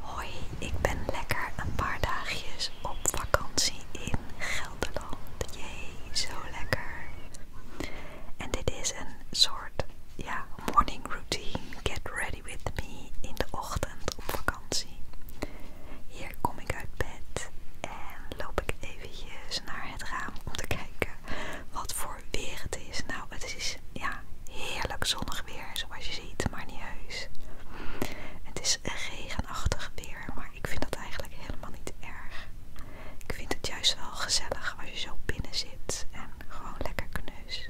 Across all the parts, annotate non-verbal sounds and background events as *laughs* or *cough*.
Hoi, ik ben lekker een paar dagjes op vakantie in Gelderland. Jee, zo lekker. En dit is een soort ja, morning routine. Get ready with me in de ochtend op vakantie. Hier kom ik uit bed en loop ik eventjes naar het raam om te kijken wat voor weer het is. Nou, het is ja, heerlijk zonnig weer, zoals je ziet, maar niet heus. Het is regenachtig weer, maar ik vind dat eigenlijk helemaal niet erg. Ik vind het juist wel gezellig als je zo binnen zit en gewoon lekker kneus.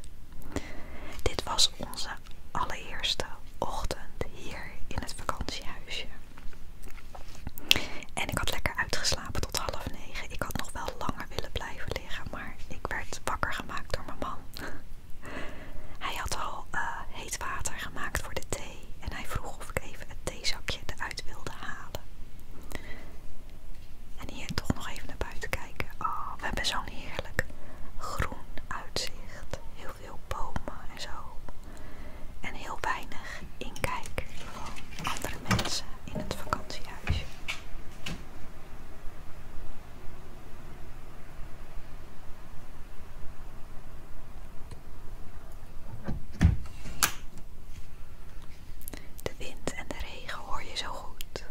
Dit was onze allereerste ochtend hier in het vakantiehuisje. En ik had lekker uitgeslapen tot half negen. Ik had nog wel langer willen blijven liggen, maar ik werd wakker gemaakt door mijn man. Hij had al eh, heet water gemaakt voor de thee en hij vroeg of ik even het theezakje eruit wilde halen. En hier toch nog even naar buiten kijken. Oh, we hebben zo'n heerlijk groen uitzicht. Heel veel bomen en zo. En heel weinig inkijk van andere mensen in het vakantiehuisje. De wind en de regen hoor je zo goed.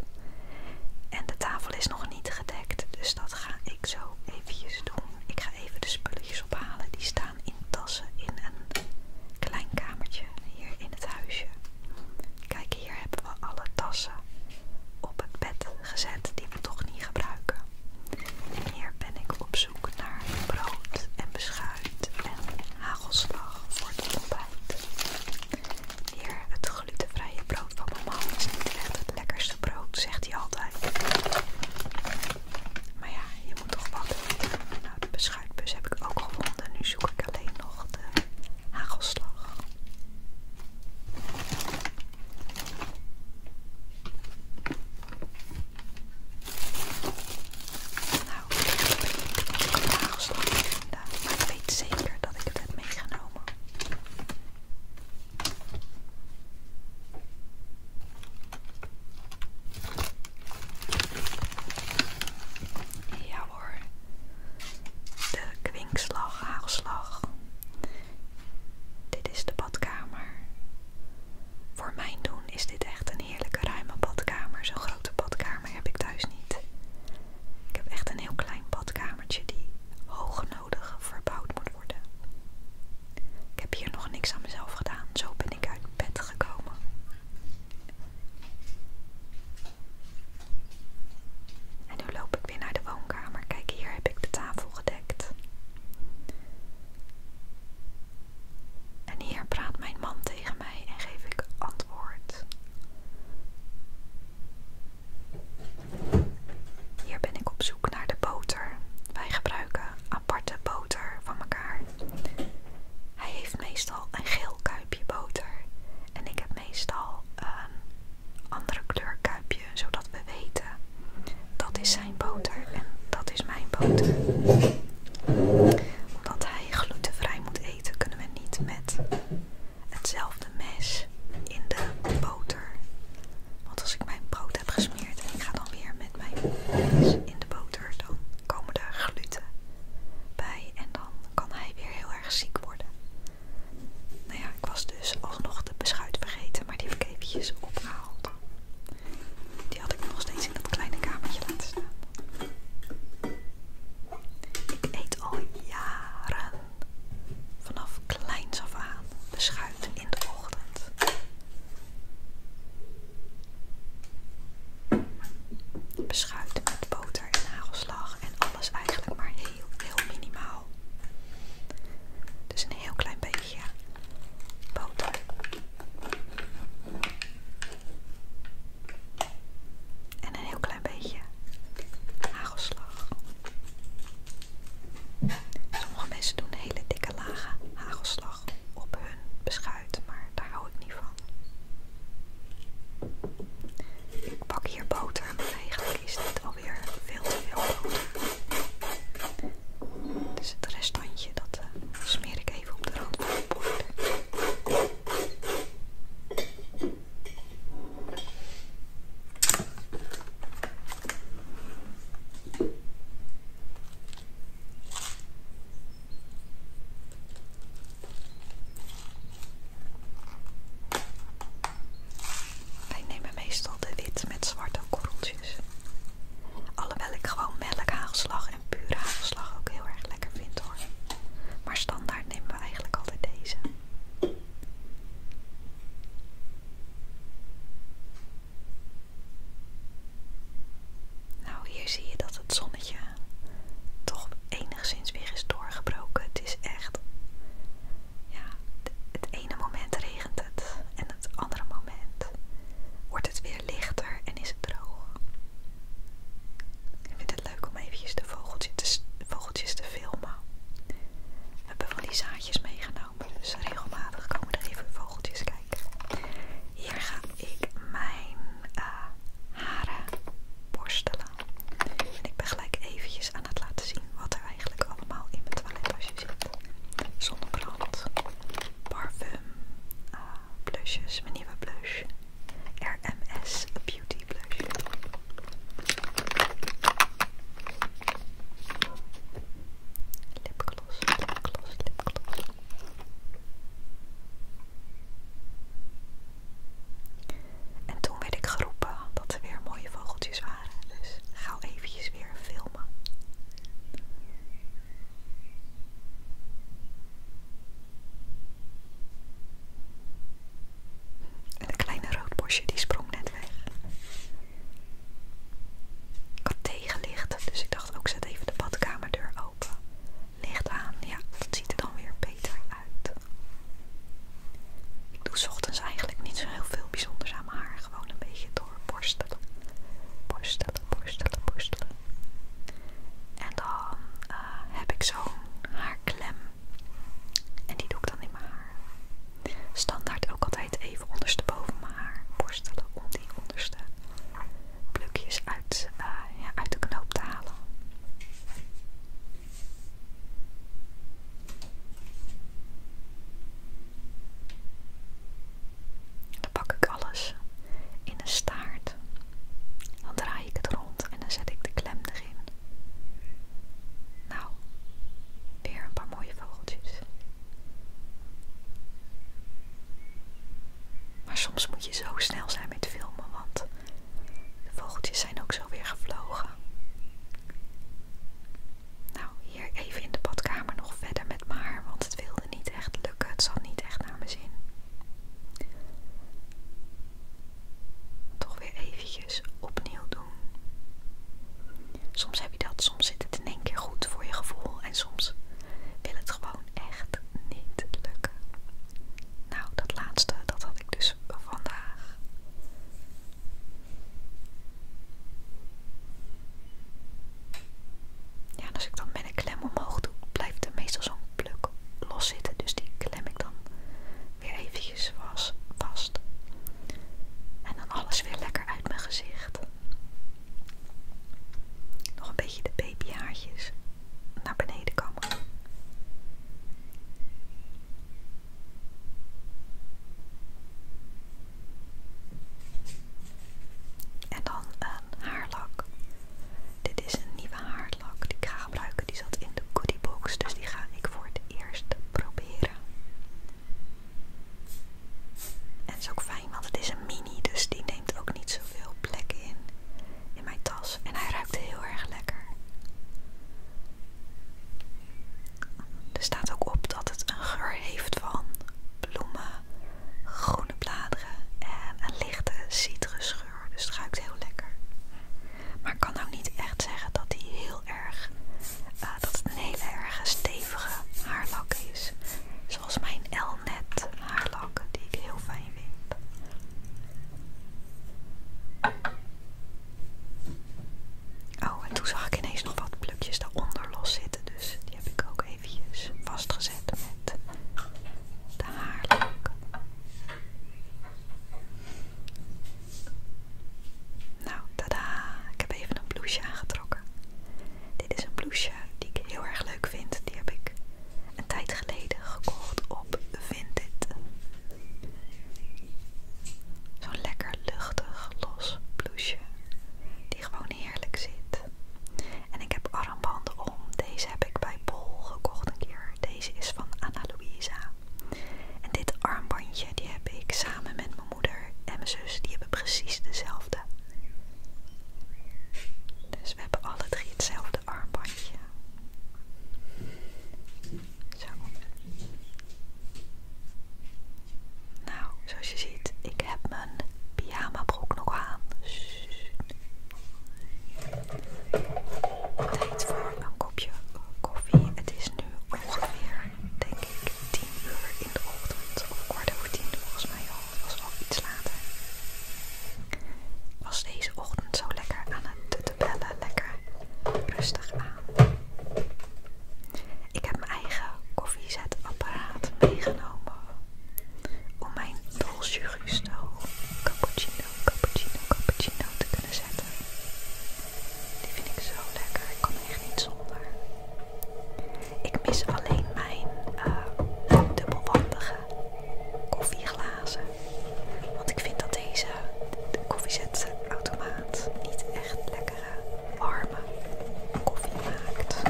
En de tafel is nog niet gedekt, dus dat ga ik zo eventjes doen. Ik ga even de spulletjes ophalen. Die staan in tassen in een klein kamertje hier in het huisje. Kijk, hier hebben we alle tassen op het bed gezet die we toch niet gebruiken. hier ben ik op zoek naar brood en beschuit en hagelslag voor de ontbijt. Hier, het glutenvrije brood van mama, is niet echt het lekkerste brood, zegt hij altijd. Maar ja, je moet toch wat. Nou, de beschuitbus heb ik ook gevonden. Nu zoek ik alleen nog de hagelslag. Nou, ik heb een hagelslag vinden, ik weet zeker dat ik het heb meegenomen. Ja hoor, de kwinkslag, hagelslag, dit is de badkamer. Voor mijn doen is dit echt een heerlijke ruime badkamer. Zo'n grote badkamer heb ik thuis niet. Ik heb echt een heel klein badkamertje die hoog nodig verbouwd moet worden. Ik heb hier nog niks aan mezelf gedaan. Zo ben ik uit bed gekomen. En nu loop ik weer naar de woonkamer. Kijk, hier heb ik de tafel gedekt. En hier praat mijn man tegen mij en geef ik antwoord. Hier ben ik op zoek naar de boter. Wij gebruiken aparte boter van elkaar. Hij heeft meestal een geel kuipje boter en ik heb meestal ehm, andere kleur kuipje, zodat we weten dat is zijn boter en dat is mijn boter. Omdat hij glutenvrij moet eten, kunnen we niet met hetzelfde mes in de boter. Want als ik mijn brood heb gesmeerd en ik ga dan weer met mijn mes in de boter, dan komen er gluten bij en dan kan hij weer heel erg ziek worden. Nou ja, ik was dus alsnog de beschuit vergeten, maar die heb ik eventjes opgehaald. Die had ik nog steeds in dat kleine kamertje laten staan. Ik eet al jaren vanaf kleins af aan beschuit in de ochtend. Beschuit met boter en nagelslag en alles eigenlijk maar heel, heel minimaal. Dus een heel klein beetje boter. En een heel klein beetje hagelslag. Sommige mensen doen hele dikke lagen hagelslag op hun beschuit, maar daar hou ik niet van. Ik pak hier boter, maar eigenlijk is dit alweer veel te veel boter. Dus het restantje dat eh, smeer ik even op de rand wij nemen meestal de wit met zwarte korreltjes. Alhoewel ik gewoon melkhagelslag en pure hagelslag ook heel erg lekker vind hoor. Maar standaard nemen we eigenlijk altijd deze. Nou, hier zie je dat het zonnetje toch enigszins weer is doorgebroken. Het is echt ja, het ene moment regent het en het andere moment wordt het weer lichter en is het droog. Ik vind het leuk om eventjes de vogeltjes te, vogeltjes te filmen. We hebben van die zaadjes meegenomen, dus regelmatig komen er even vogeltjes kijken. Hier ga ik mijn eh, haren borstelen. En ik ben gelijk eventjes aan het laten zien wat er eigenlijk allemaal in mijn toilettasje zit. Zonnebrand, parfum, uh, blushes, mijn nieuwe blush. RMS Beauty Blush. Lipgloss, lipgloss, lipgloss. En toen werd ik geroepen dat er weer mooie vogeltjes waren. Dus ga eventjes weer filmen. En een kleine roodbosje die sprong net weg. Ik had tegenlicht, dus ik dacht ook zet even de badkamerdeur open. Licht aan, ja, dat ziet er dan weer beter uit. Ik doe ochtends eigenlijk niet zo heel veel bijzonders aan mijn haar. Gewoon een beetje door borstelen. Borstelen, borstelen, En dan eh, heb ik zo'n haarklem. En die doe ik dan in mijn haar. Standaard ook altijd even ondersteboven mijn haar borstelen om die onderste plukjes uit eh, de knoop te halen. Dan pak ik alles in een staart. Dan draai ik het rond en dan zet ik de klem erin. Nou, weer een paar mooie vogeltjes. Maar soms moet je zo snel zijn met filmen, want de vogeltjes zijn ook zo weer gevlogen. Nou, hier even in de badkamer nog verder met haar, want het wilde niet echt lukken. Het zal niet echt naar mijn zin. Toch weer eventjes opnieuw doen. Soms heb je dat, soms zit het in één keer goed voor je gevoel en soms wil het gewoon echt niet lukken. Nou, dat laatste, dat had ik dus vandaag. Ja, en als ik dan met een klem omhoog doe, blijft er meestal zo'n pluk los zitten. Dus die klem ik dan weer eventjes vast. En dan alles weer lekker uit mijn gezicht. Nog een beetje de babyhaartjes naar beneden komen. En dan een haarlak. Dit is een nieuwe haarlak die ik ga gebruiken. Die zat in de goodiebox, dus die ga ik voor het eerst proberen. En het is ook fijn, want het is een mini, dus die neemt ook niet zoveel plek in in mijn tas. En hij ruikt heel erg lekker. Er staat ook op dat het een geur heeft van bloemen, groene bladeren en een lichte citrusgeur. Dus het ruikt heel lekker. Maar ik kan ook nou niet echt zeggen dat hij heel erg, eh, dat het een heel erg stevige haarlak is. Zoals mijn Elnet haarlak, die ik heel fijn vind. Oh, en toen zag ik ineens nog wat plukjes daaronder los zitten. Dus die heb ik ook eventjes vastgezet met de haarlok. Nou, tada! Ik heb even een blouseje aangetrokken. Dit is een blouseje die ik heel erg leuk vind. Die heb ik een tijd geleden gekocht op Vinted. Zo'n lekker luchtig los blouseje die gewoon heerlijk zit. En ik heb armbanden om. Deze heb ik bij Bol gekocht een keer. Deze is van Anna Luisa. En dit armbandje die heb ik samen met mijn moeder en mijn zus. Die hebben precies dezelfde. Dus we hebben alle drie hetzelfde armbandje. Zo. Nou, zoals je ziet, ik heb mijn pyjama broek nog aan. Tijd voor een kopje koffie. Het is nu ongeveer, denk ik, 10 uur in de ochtend. Of kwart over 10 volgens mij Het was wel iets later. Was deze ochtend zo lekker aan het te bellen. Lekker rustig aan. Ik heb mijn eigen koffiezetapparaat meegenomen om mijn dolce gusto cappuccino, cappuccino, cappuccino te kunnen zetten. Die vind ik zo lekker, ik kan echt niet zonder. Ik mis alleen mijn eh, dubbelwandige koffieglazen, want ik vind dat deze de koffiezetautomaat niet echt lekkere warme koffie maakt.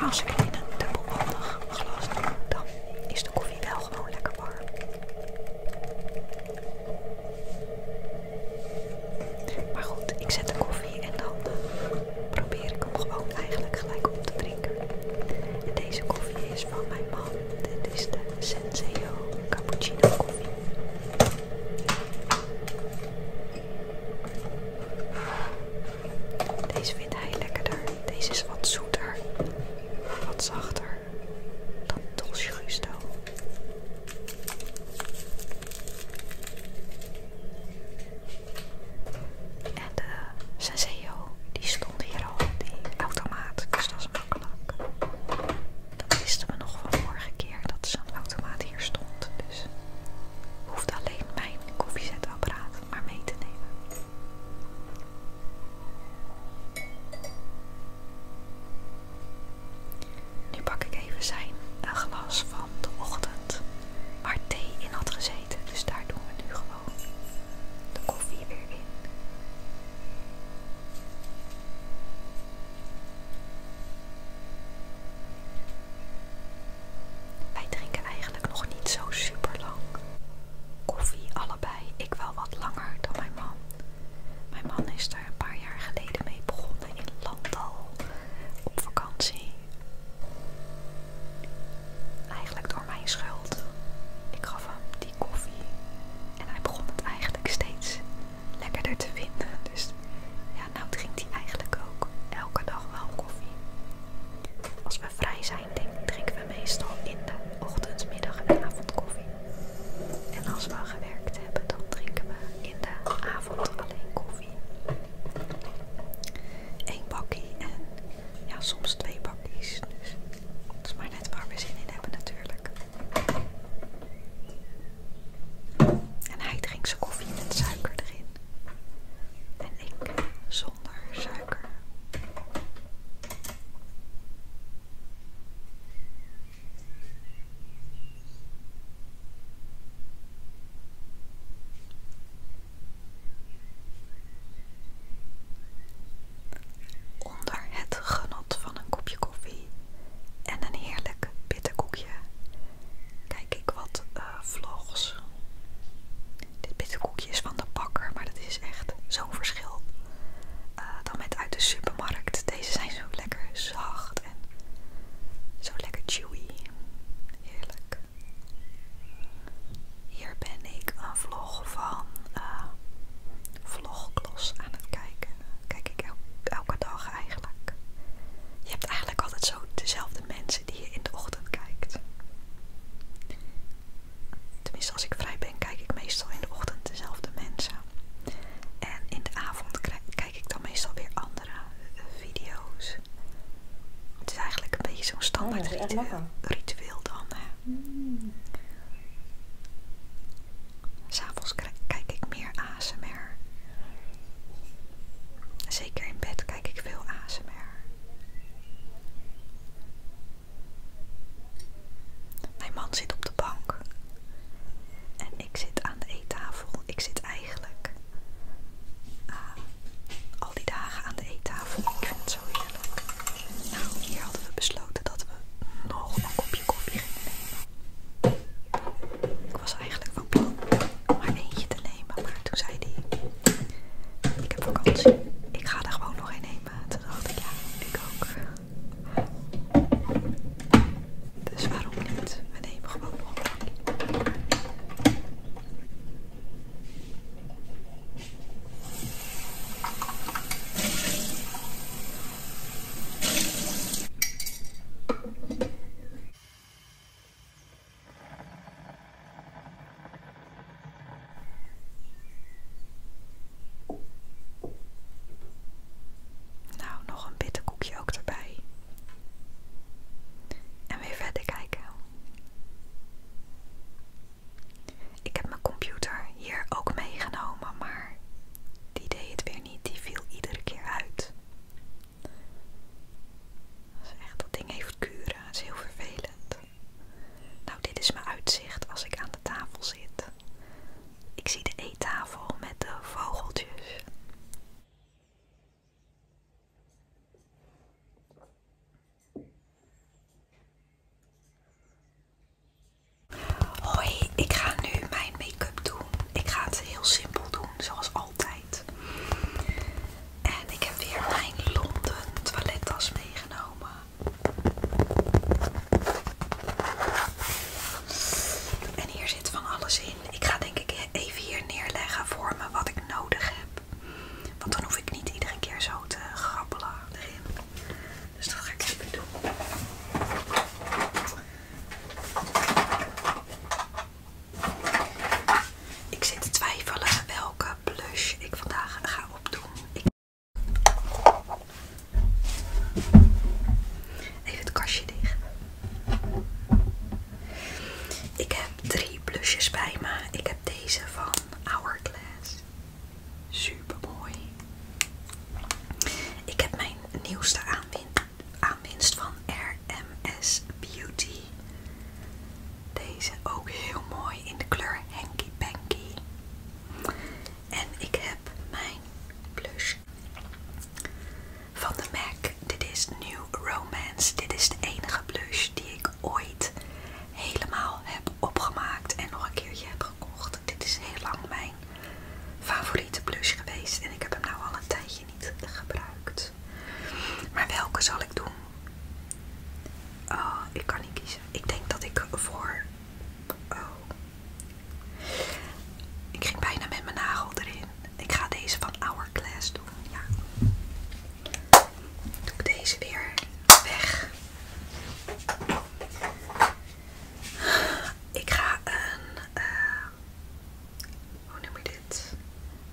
Maar als ik het in een dubbelhandig glas dan is de koffie wel gewoon lekker warm. Maar goed, ik zet de koffie en dan eh, probeer ik hem gewoon eigenlijk gelijk op te drinken. deze koffie is van mijn man. Dit is de Senseo Cappuccino koffie. Deze vindt hij lekkerder. Deze is wat zoeter, wat zachter dan Dolce Gusto. En de Senseo, die stond hier al, die automaat, dus dat is makkelijk. Dat wisten we nog van vorige keer dat zo'n automaat hier stond. Dus hoeft alleen mijn koffiezetapparaat maar mee te nemen. Nu pak ik even zijn glas van de ochtend waar thee in had gezeten. Dus daar doen we nu gewoon de koffie weer in. Wij drinken eigenlijk nog niet zo super lang koffie, allebei. Ik wel wat langer dan mijn man. Mijn man is daar een paar jaar geleden mee begonnen in Landal op vakantie. Eigenlijk door mijn schuld. Ik gaf hem die koffie en hij begon het eigenlijk steeds lekkerder te vinden. Dus ja, nou drinkt hij eigenlijk ook elke dag wel koffie. Als we vrij zijn, drinken we meestal in de ochtend, middag en avond koffie. En als we gewerkt hebben, dan drinken we in de avond alleen koffie. Eén bakje en ja, soms twee bakjes, Dus het is maar net waar we zin in hebben natuurlijk. En hij drinkt zijn koffie met suiker erin. En ik zonder suiker. Onder het genot van een kopje koffie en een heerlijke koekje kijk ik wat eh, vlogs. Dit koekje is van de bakker, maar dat is echt zo'n verschil eh, dan met uit de supermarkt. Deze zijn zo lekker zacht en zo lekker chewy. Heerlijk. Hier ben ik een vlog van eh, vlogklos aan het kijken kijk ik elke dag eigenlijk. Je hebt eigenlijk altijd zo dezelfde mensen die je in de ochtend kijkt. Tenminste, als ik vrij ben, kijk ik meestal in de ochtend dezelfde mensen. En in de avond kijk ik dan meestal weer andere eh, video's. Het is eigenlijk een beetje zo'n oh, standaard ritueel, dan. Hè? Hmm. S'avonds kijk ik meer ASMR. Zeker in bed kijk ik veel ASMR. Mijn man zit op de bank. En ik zit aan de eettafel. Ik zit eigenlijk eh, al die dagen aan de eettafel. Ik vind het zo heerlijk. Nou, hier hadden we besloten dat we nog een kopje koffie gingen nemen. Ik was eigenlijk van plan om maar eentje te nemen, maar toen zei hij: Ik heb vakantie, ik ga er gewoon nog een nemen. Toen dacht ik: Ja, ik ook. Dus waarom niet? We nemen gewoon nog een nou, nog een bitterkoekje ook erbij. En weer verder kijken. Ik heb mijn computer hier ook meegenomen, maar die deed het weer niet. Die viel iedere keer uit. Dat echt, dat ding heeft kuren. is heel vervelend. Nou, dit is mijn uitzicht als ik aan de tafel zit. Ik zie de eettafel met de vogeltjes. Hoi, ik ga nu mijn ik ga het heel simpel doen, zoals altijd. En ik heb weer mijn Londen toilettas meegenomen. En hier zit van alles in. Ik ga denk ik even hier neerleggen voor me wat ik nodig heb. Want dan hoef ik niet iedere keer zo te grappelen. erin. Dus dat ga ik even doen. Ik zit te twijfelen welke blush ik vandaag ga opdoen. Even het kastje dicht. Ik heb drie blushes bij me. Ik heb deze van Hourglass. Super mooi. Ik heb mijn nieuwste aanwinst aanwinst van RMS Beauty. Deze ook heel mooi in de kleur Hanky Panky. En ik heb mijn blush van de MAC. Dit is New Romance. Dit is de enige blush die ik ooit helemaal heb opgemaakt en nog een keertje heb gekocht. Dit is heel lang mijn favoriete blush geweest en ik heb hem nou al een tijdje niet gebruikt. Maar welke zal ik doen? Oh, ik kan niet kiezen. Ik denk dat ik voor. Oh. Ik ging bijna met mijn nagel erin. Ik ga deze van Hourglass doen. Ja. Doe ik deze weer weg. Ik ga een. Eh, hoe noem je dit?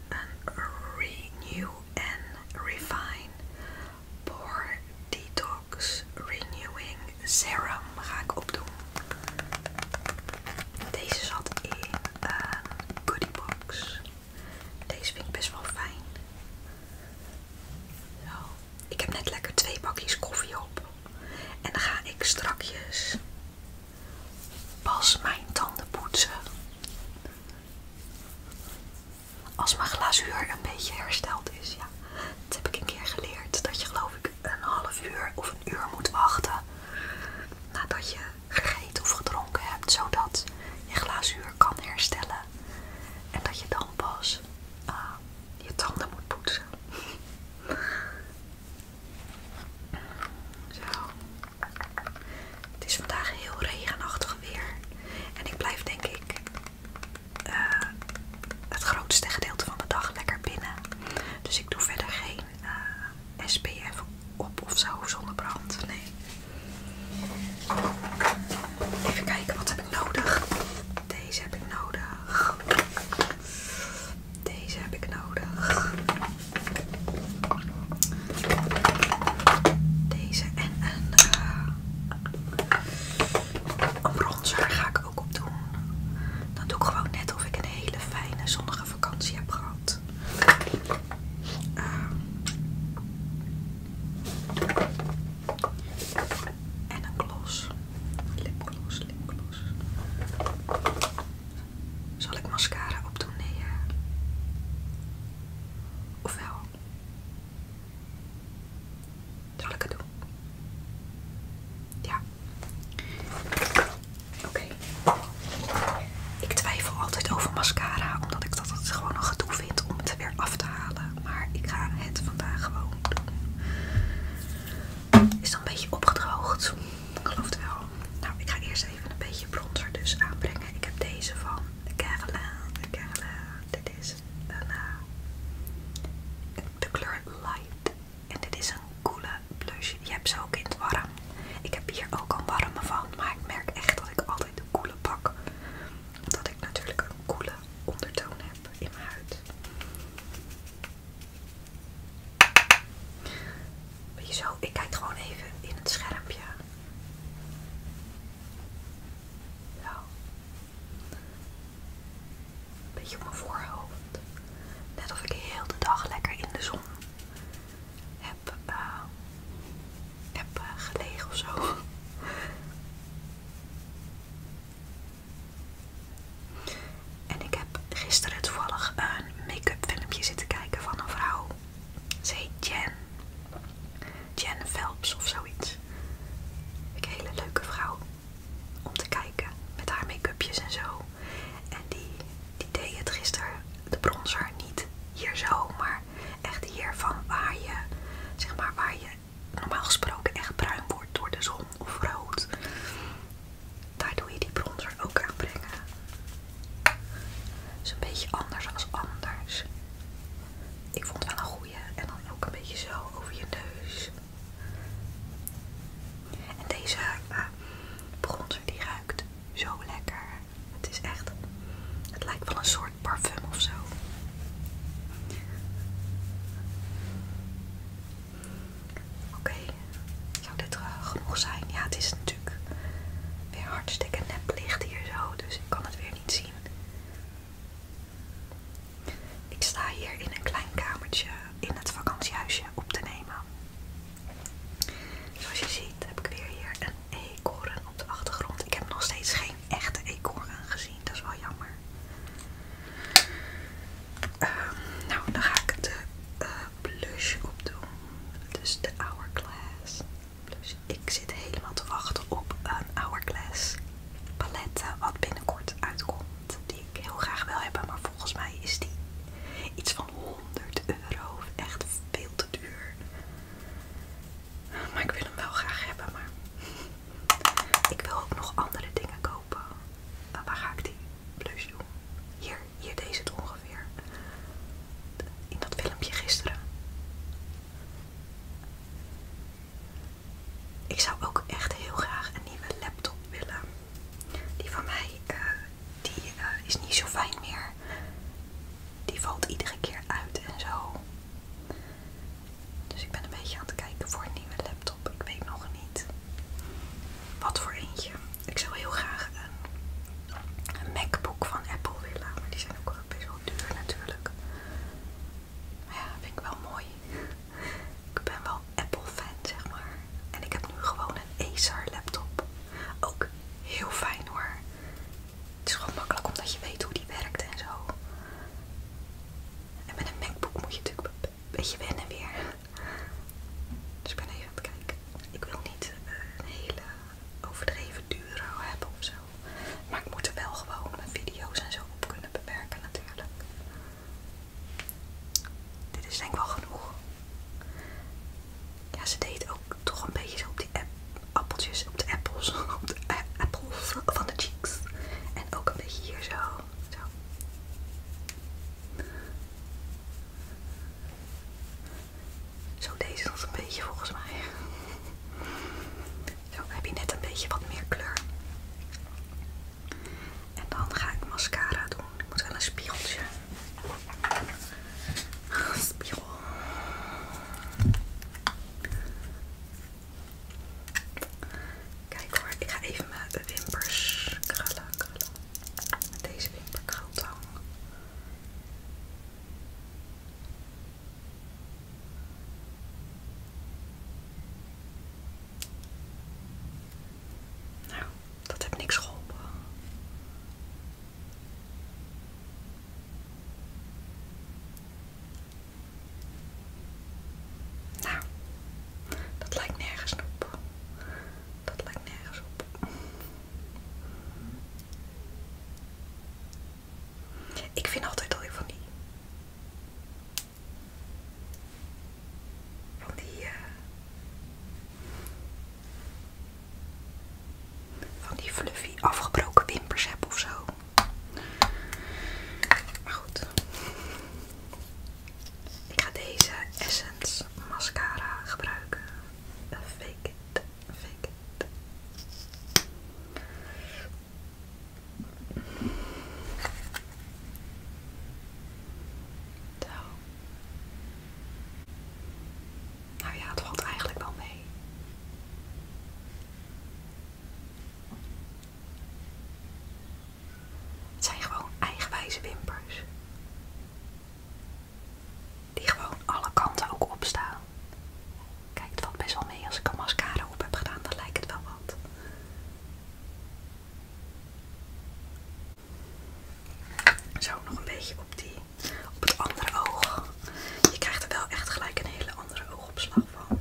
Een Renew en Refine Pore Detox Renewing Serum ga ik opdoen. Deze zat in een ehm, goodiebox. Deze vind ik best wel fijn. Ik heb net lekker twee bakjes koffie op. En dan ga ik strakjes Pas mijn tanden poetsen. Als mijn glazuur een beetje hersteld is, ja. Dat heb ik een keer geleerd. Dat je geloof ik een half uur of een uur moet wachten nadat je gegeten of gedronken hebt. Zodat je glazuur kan herstellen. En dat je dan pas ah, je tanden moet poetsen. Zo. Het is vandaag heel regenachtig weer. En ik blijf denk ik eh, het grootste gedeelte van de dag lekker binnen. Dus ik doe verder geen eh, SPF op of zo zonnebrand. Nee. Even kijken, wat heb ik nodig? Deze heb ik nodig. Deze heb ik nodig. Deze en een, eh, bronzer ga ik ook op doen. Dan doe ik gewoon net of ik een hele fijne zonnige vakantie heb gehad. Ehm, en een gloss. Lipgloss, lipgloss. Zal ik mascara opdoen? Nee, Of Zal ik het doen? Ja. Oké. Ik twijfel altijd over mascara, omdat ik dat het gewoon een gedoe vind om het weer af te halen. Maar ik ga het vandaag gewoon doen is dan een beetje opgedroogd. Ik geloof het wel. Nou, ik ga eerst even een beetje bronzer dus aanbrengen. Ik heb deze van de Caroline. Dit is eh, de kleur Light. En dit is een coole blush. Je hebt ze ook in het warm. Ik heb hier ook een warme van. Maar ik merk echt dat ik altijd de koele pak. Omdat ik natuurlijk een koele ondertoon heb in mijn huid. Beetje zo, ik kijk gewoon even in het schermpje. Beetje op mijn voorhoofd. Net of ik de hele dag lekker in de zon heb, eh, eh, gelegen of zo. En ik heb gisteren toevallig een make-up filmpje zitten kijken van een vrouw. Ze heet Jen. Jen Phelps of zoiets. Een hele leuke vrouw om te kijken met haar make-upjes en zo. En die, die deed het gisteren, de bronzer, niet hier zo, maar echt hier van waar je, zeg maar, waar je normaal gesproken echt bruin wordt door de zon of rood daar doe je die bronzer ook aan Het Is een beetje anders als anders. Ik vond het wel een goede En dan ook een beetje zo over je neus. En deze eh, bronzer die ruikt zo lekker. Het is echt, het lijkt wel een soort parfum of zo. Oké, zou dit eh, genoeg zijn? Ja, het is natuurlijk weer hartstikke nep licht hier zo, dus ik kan het weer niet zien. Ik sta hier in een klein kamertje in het vakantiehuisje op te nemen. Zoals je ziet heb ik weer hier een eekhoorn op de achtergrond. Ik heb nog steeds geen echte eekhoorn gezien, dat is wel jammer. Ehm, nou, dan ga ik de blush eh, blush opdoen. Dus de Hourglass Ik zit helemaal te wachten op een Hourglass palet eh, wat binnenkort uitkomt. Die ik heel graag wil hebben, maar volgens mij is die iets van 100 euro. Echt veel te duur. Maar ik wil hem wel graag hebben, maar ik wil ook nog andere dingen kopen. Eh, waar ga ik die Plus doen. Hier, hier deze het ongeveer. In dat filmpje gisteren. Ik zou ook echt heel graag een nieuwe laptop willen. Die van mij eh, die, eh, is niet zo fijn meer. Die valt iedere keer uit en zo. Dus ik ben een beetje aan het kijken voor een nieuwe laptop. Ik weet nog niet wat voor eentje. Ik zou heel graag een, MacBook van Apple willen. Maar die zijn ook wel best wel duur natuurlijk. Maar ja, vind ik wel mooi. Ik ben wel Apple fan, zeg maar. En ik heb nu gewoon een Acer laptop. Ook heel fijn hoor. Het is gewoon makkelijk omdat je weet hoe die werkt en zo. En met een MacBook moet je natuurlijk een beetje wennen weer. Dus ik ben even aan kijken. Ik wil niet eh, een hele overdreven duro hebben of zo. Maar ik moet er wel gewoon mijn video's en zo op kunnen bewerken natuurlijk. Dit is denk ik wel genoeg. Ja, ze deed ook toch een beetje zo op die appeltjes, op de appels, *laughs* op de apples van de cheeks. En ook een beetje hier zo. zo. Zo, deze is nog een beetje volgens mij. Zo, heb je net een beetje wat meer kleur. En dan ga ik mascara doen. Ik moet wel een spiegeltje. Spiegel. Kijk hoor, ik ga even mijn wimpers krullen, krullen. Met deze wimperkrultang. Nou, dat heeft niks geholpen. Nou, dat lijkt nergens op. Dat lijkt nergens op. Ik vind altijd al van die. Van die. Eh, van die fluffy afgebroken wimpers heb of zo. Maar goed. Ik ga deze Essence mascara gebruiken. Fake it, Zo. Nou ja, het valt eigenlijk wel mee. Het zijn gewoon eigenwijze wimpers. Die gewoon alle kanten ook opstaan. Kijk, het valt best wel mee als ik een mascara op heb gedaan, dan lijkt het wel wat. Zo, nog een beetje op, die, op het andere oog. Je krijgt er wel echt gelijk een hele andere oogopslag van.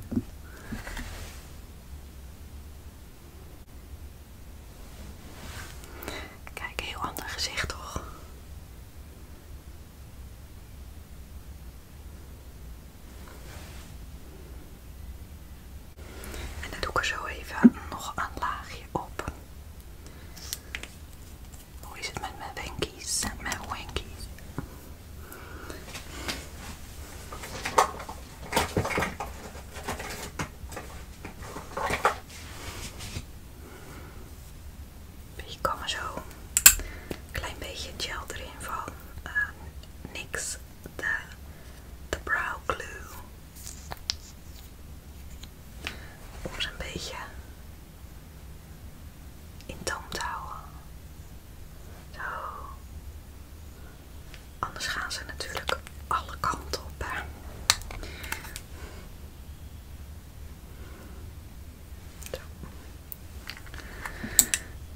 Kijk, heel ander gezicht toch? En dan doe ik er zo even nog een laagje op. Hoe is het met mijn wenkies? Mijn wenkies. Je kan er zo klein beetje gel erin van eh, niks de, de brow glue. Om ze een beetje in toom te houden. Zo. Anders gaan ze natuurlijk alle kanten op.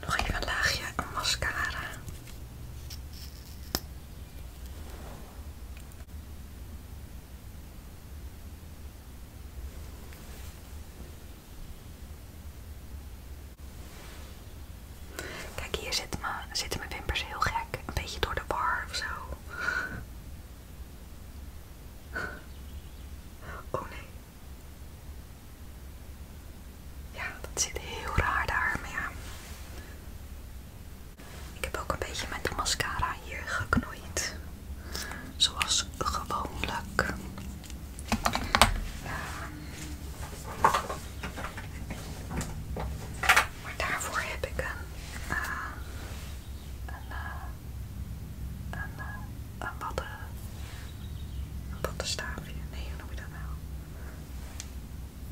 Nog even een laagje mascara. Kijk, hier zitten mijn, zitten mijn wimpers heel gek. Een beetje door de war of zo. Oh nee. Ja, dat zit heel raar daar, maar Ik heb ook een beetje met de mascara hier geknoeid. Zoals gewoonlijk. Maar daarvoor heb ik een, eh, een, eh, een, eh, een, badden, een Nee, hoe noem je dat nou?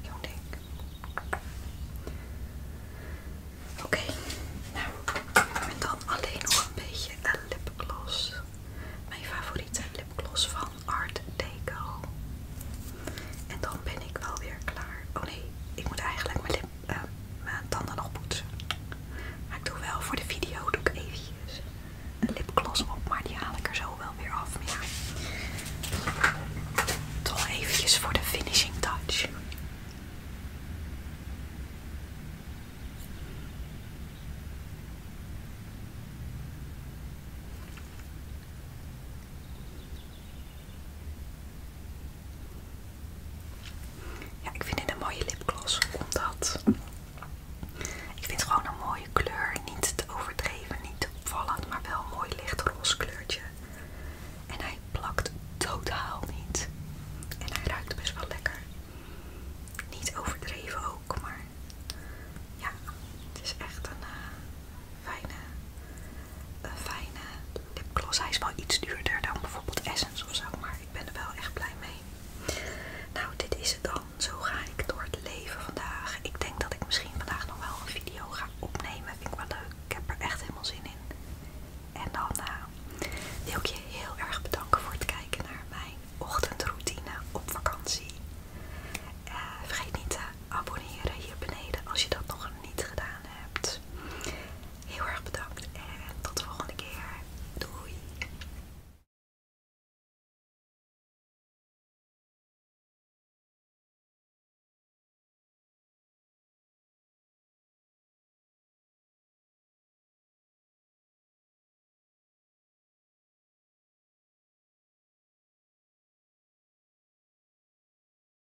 jongen. ik? Oké, Nou, nou heb dan alleen nog een beetje een lipgloss. Mijn favoriete lipgloss van Art Deco. En dan ben ik wel weer klaar. Oh nee, ik moet eigenlijk mijn lip uh, mijn tanden nog poetsen. Maar ik doe wel voor de video doe ik eventjes een lipgloss op, maar die haal ik er zo wel weer af. toch eventjes voor de finishing touch. Ja, ik vind dit een mooie lipgloss, omdat ik vind het gewoon een mooie kleur. Niet te overdreven, niet te opvallend, maar wel een mooi lichtroze kleurtje. En hij plakt totaal niet. En hij ruikt best wel lekker. Niet overdreven ook, maar ja, het is echt een, eh, fijne, een eh, fijne lipgloss. Hij is wel iets duurder dan bijvoorbeeld Essence ofzo. maar ik ben er wel echt blij mee. Nou, dit is het dan. Zo ga ik door het leven vandaag. Ik denk dat ik misschien vandaag nog wel een video ga opnemen. Vind ik wel leuk. Ik heb er echt helemaal zin in. En dan eh, wil ik je heel erg bedanken voor het kijken naar mijn ochtendroutine op vakantie. Eh, vergeet niet te abonneren hier beneden als je dat nog niet gedaan hebt. Heel erg bedankt en tot de volgende keer. Doei!